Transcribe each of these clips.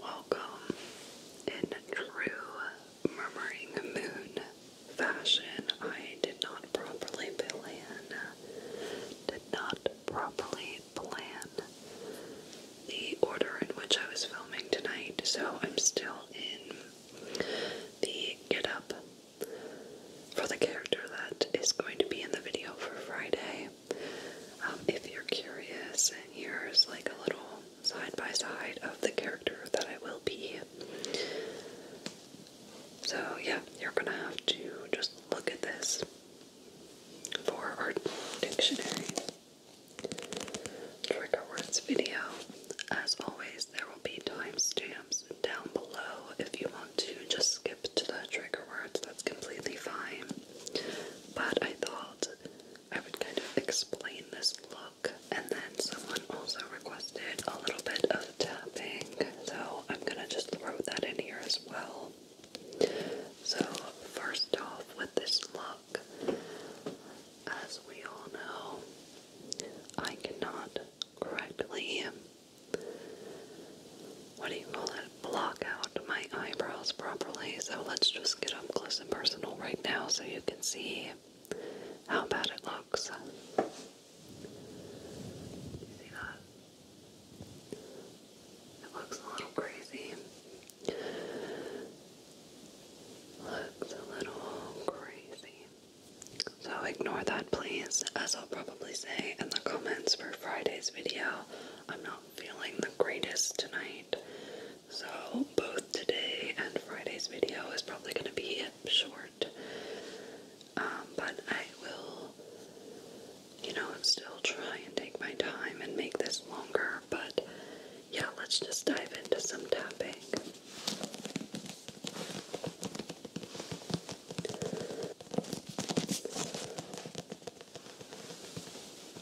Welcome in true murmuring moon fashion. I did not properly plan, did not properly plan the order in which I was filming tonight, so I'm still in the get up for the character that is going to be in the video for Friday. Um, if you're curious, and here's like a little side by side of the character that I will be. So, yeah, you're gonna have to just look at this for our dictionary trigger words video. As always, there will be timestamps down below if you want to just skip to the trigger words, that's completely fine. But I thought I would kind of explain this look. And then someone also requested a little bit of tapping, so I'm gonna just throw that in here as well. So, first off, with this look, as we all know, I cannot correctly. What do you call it? block out my eyebrows properly. So let's just get up close and personal right now so you can see how bad it looks. You see that? It looks a little crazy. Looks a little crazy. So ignore that, please, as I'll probably say in the comments for Friday's video. I'm not feeling the greatest tonight. So, both today and Friday's video is probably going to be short. Um, but I will, you know, still try and take my time and make this longer. But yeah, let's just dive into some tapping.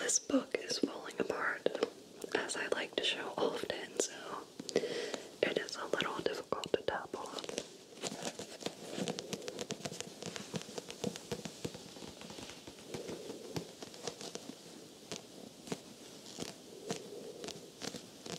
This book is falling apart, as I like to show often, so it is a little difficult to tap on.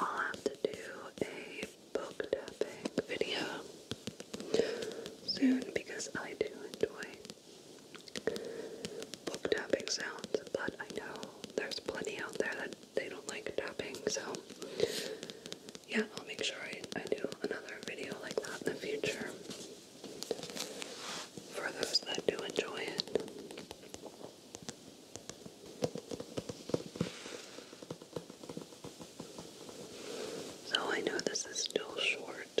I'll have to do a book tapping video soon because I do enjoy book tapping sounds, but I know there's plenty out there that they don't like tapping, so yeah, I'll make sure I, do another video like that in the future for those that do enjoy it. So I know this is still short,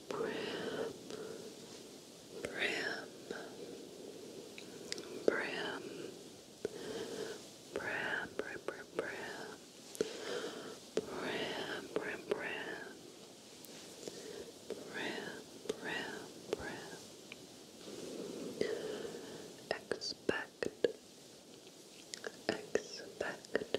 Brim, brim, brim, brim, brim, brim, brim, brim, brim, brim, brim, brim, brim. Expect, expect, expect,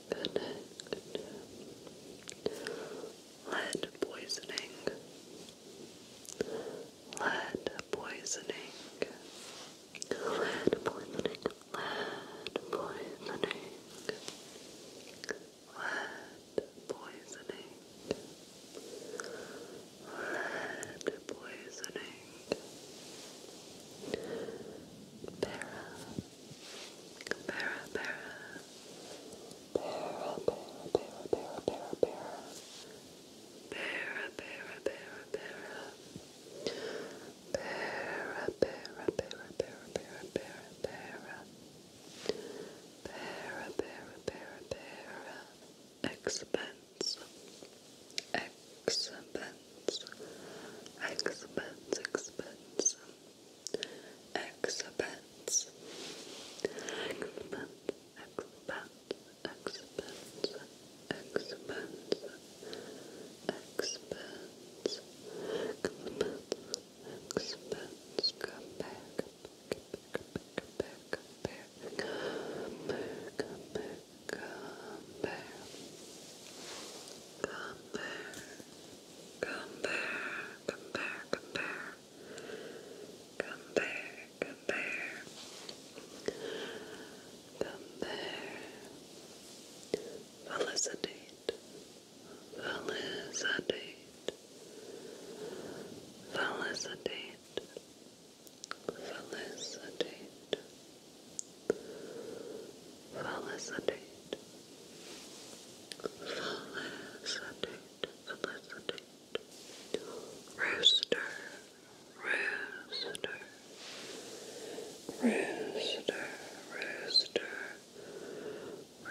Lead poisoning. Lead poisoning. Lead poisoning. Lead poisoning. Lead poisoning. Lead poisoning. Para Para, para. Para, para, para, para, para, para. Para, para, para, para. Para, para, para, para, para, para, para. Para, Expense. Expense. Expense, expense exhibits, exhibits, exhibits, exhibits, exhibits, exhibits, exhibits, compare, compare, compare, compare, compare, compare, compare, compare. Compare, compare, compare. Compare, compare. Compare. Felicitate. Felicitate. Felicitate. Felicitate. Felicitate. Felicitate, felicitate. Rooster, rooster. Rooster, rooster.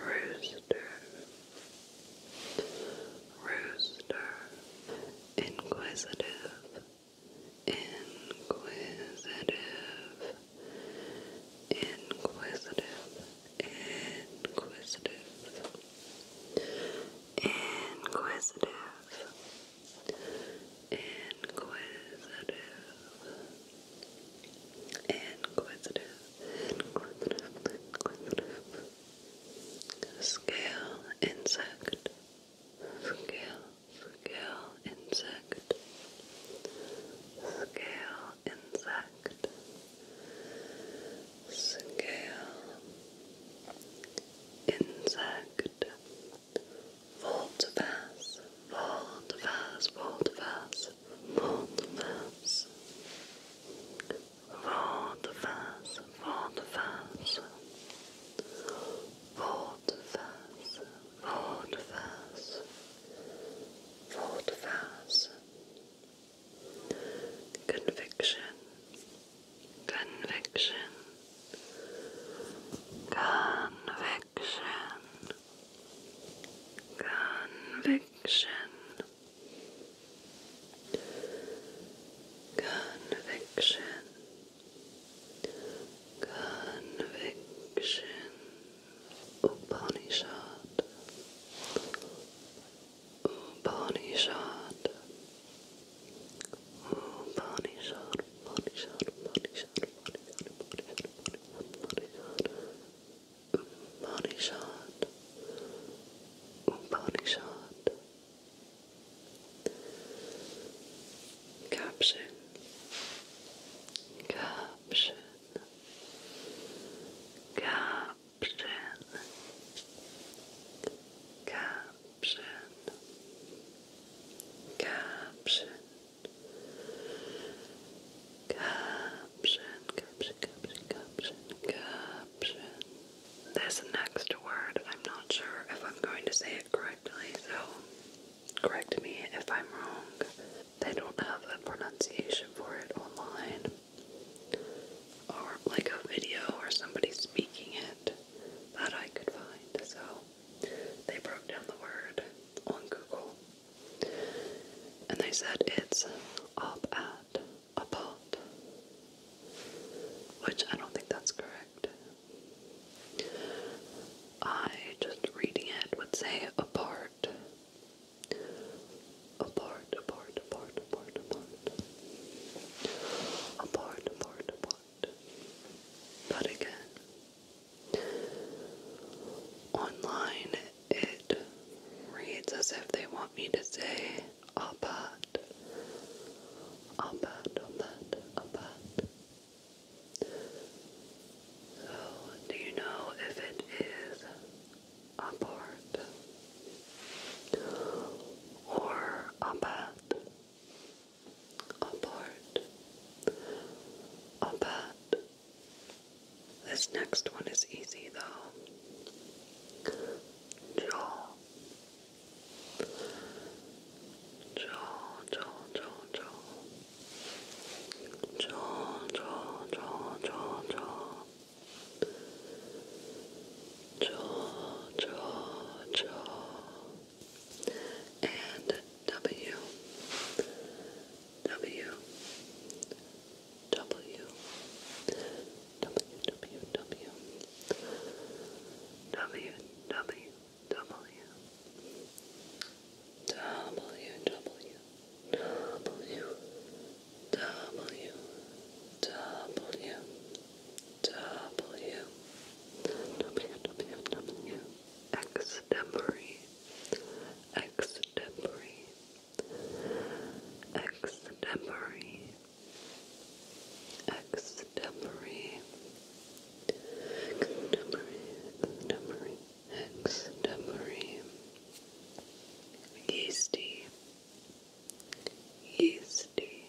Rooster. Rooster. Inquisitive. Inquisitive inquisitive, inquisitive, inquisitive, inquisitive, inquisitive, inquisitive, inquisitive. Scale insect, scale, scale, insect, scale insect, scale insect, Voltavas, Voltavas, Voltavas, Voltavas, Voltavas, Voltavas, Voltavas, hold fast, Conviction, conviction, conviction, conviction, conviction. Conviction, Upanishad shot! Upanishad Upanishad Upanishad Upanishad Upanishad Upanishad Upanishad Caption Caption Caption Caption Caption Caption Caption Caption Caption Caption This next word I'm not sure if I'm going to say it correctly so correct me if I'm wrong they don't have a pronunciation for it online or like a video or somebody speaking it that I could find. So they broke down the word on Google and they said it's up at about, which I don't think that's correct. I just reading it would say abort. Abort, abort, abort, abort, abort. Abort, abort, abort. But again, online it reads as if they want me to say abort. Abort, abort, abort. So, do you know if it is abort or abat? Abort, abat. This next one is easy though. Jaw. Jaw, jaw, jaw, jaw jaw, jaw, jaw, jaw, jaw. Jaw, jaw, jaw. And W, W, W, W, W, W, W, W. W W W W W W W W W extemporary extemporary extemporary extemporary contemporary contemporary Extemporary, yeasty, yeasty,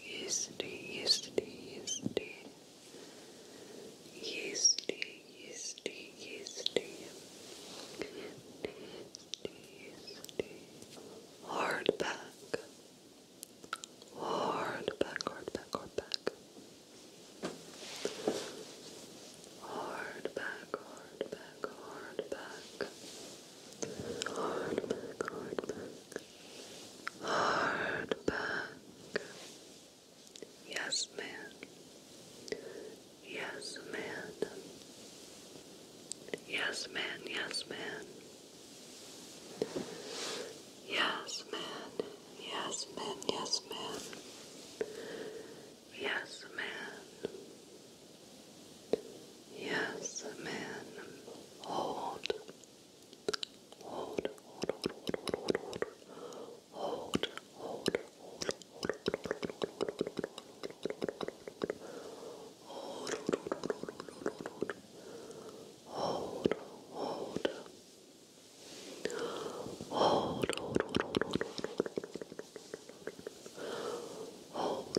yeasty, yeasty, yeasty, yeasty, yeasty, yeasty, yeasty, yeasty, hard back, hard back, hard back, hard back. Hard back, hard back, hard back. Hard back, hard back. Hard back. Yes, man. Yes, man. Yes, man. Yes, man. Yes, man. Yes, man. Yes, man. Yes, man. Yes, man. Hold. Hold, hold, hold, hold, hold, hold, hold, hold, hold, hold, hold, hold, hold, Hold, hold, hold, hold, hold, hold, hold.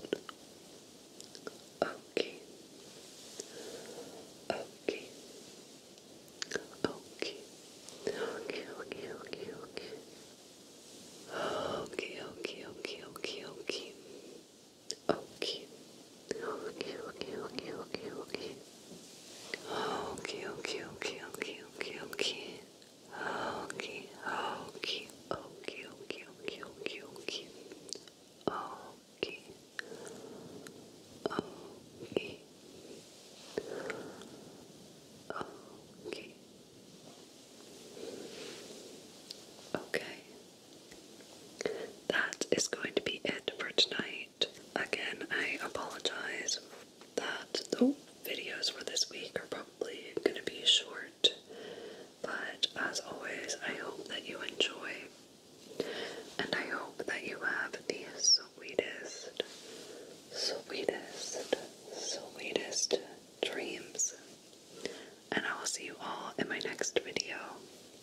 Okay. Okay. Okay. Okay, okay, okay, okay. Okay, okay, okay, okay, okay. Okay. Okay, okay, okay, okay, okay. Okay, okay, okay, okay, okay, okay. Okay, okay, okay, okay, okay, okay, okay. Okay. Okay. Okay. Okay. That is going to be it for tonight. Again, I apologize that the videos for this week are probably going to be short, but as always, I hope that you enjoy and I hope that you have the sweetest, sweetest, sweetest dreams. And I will see you all in my next video.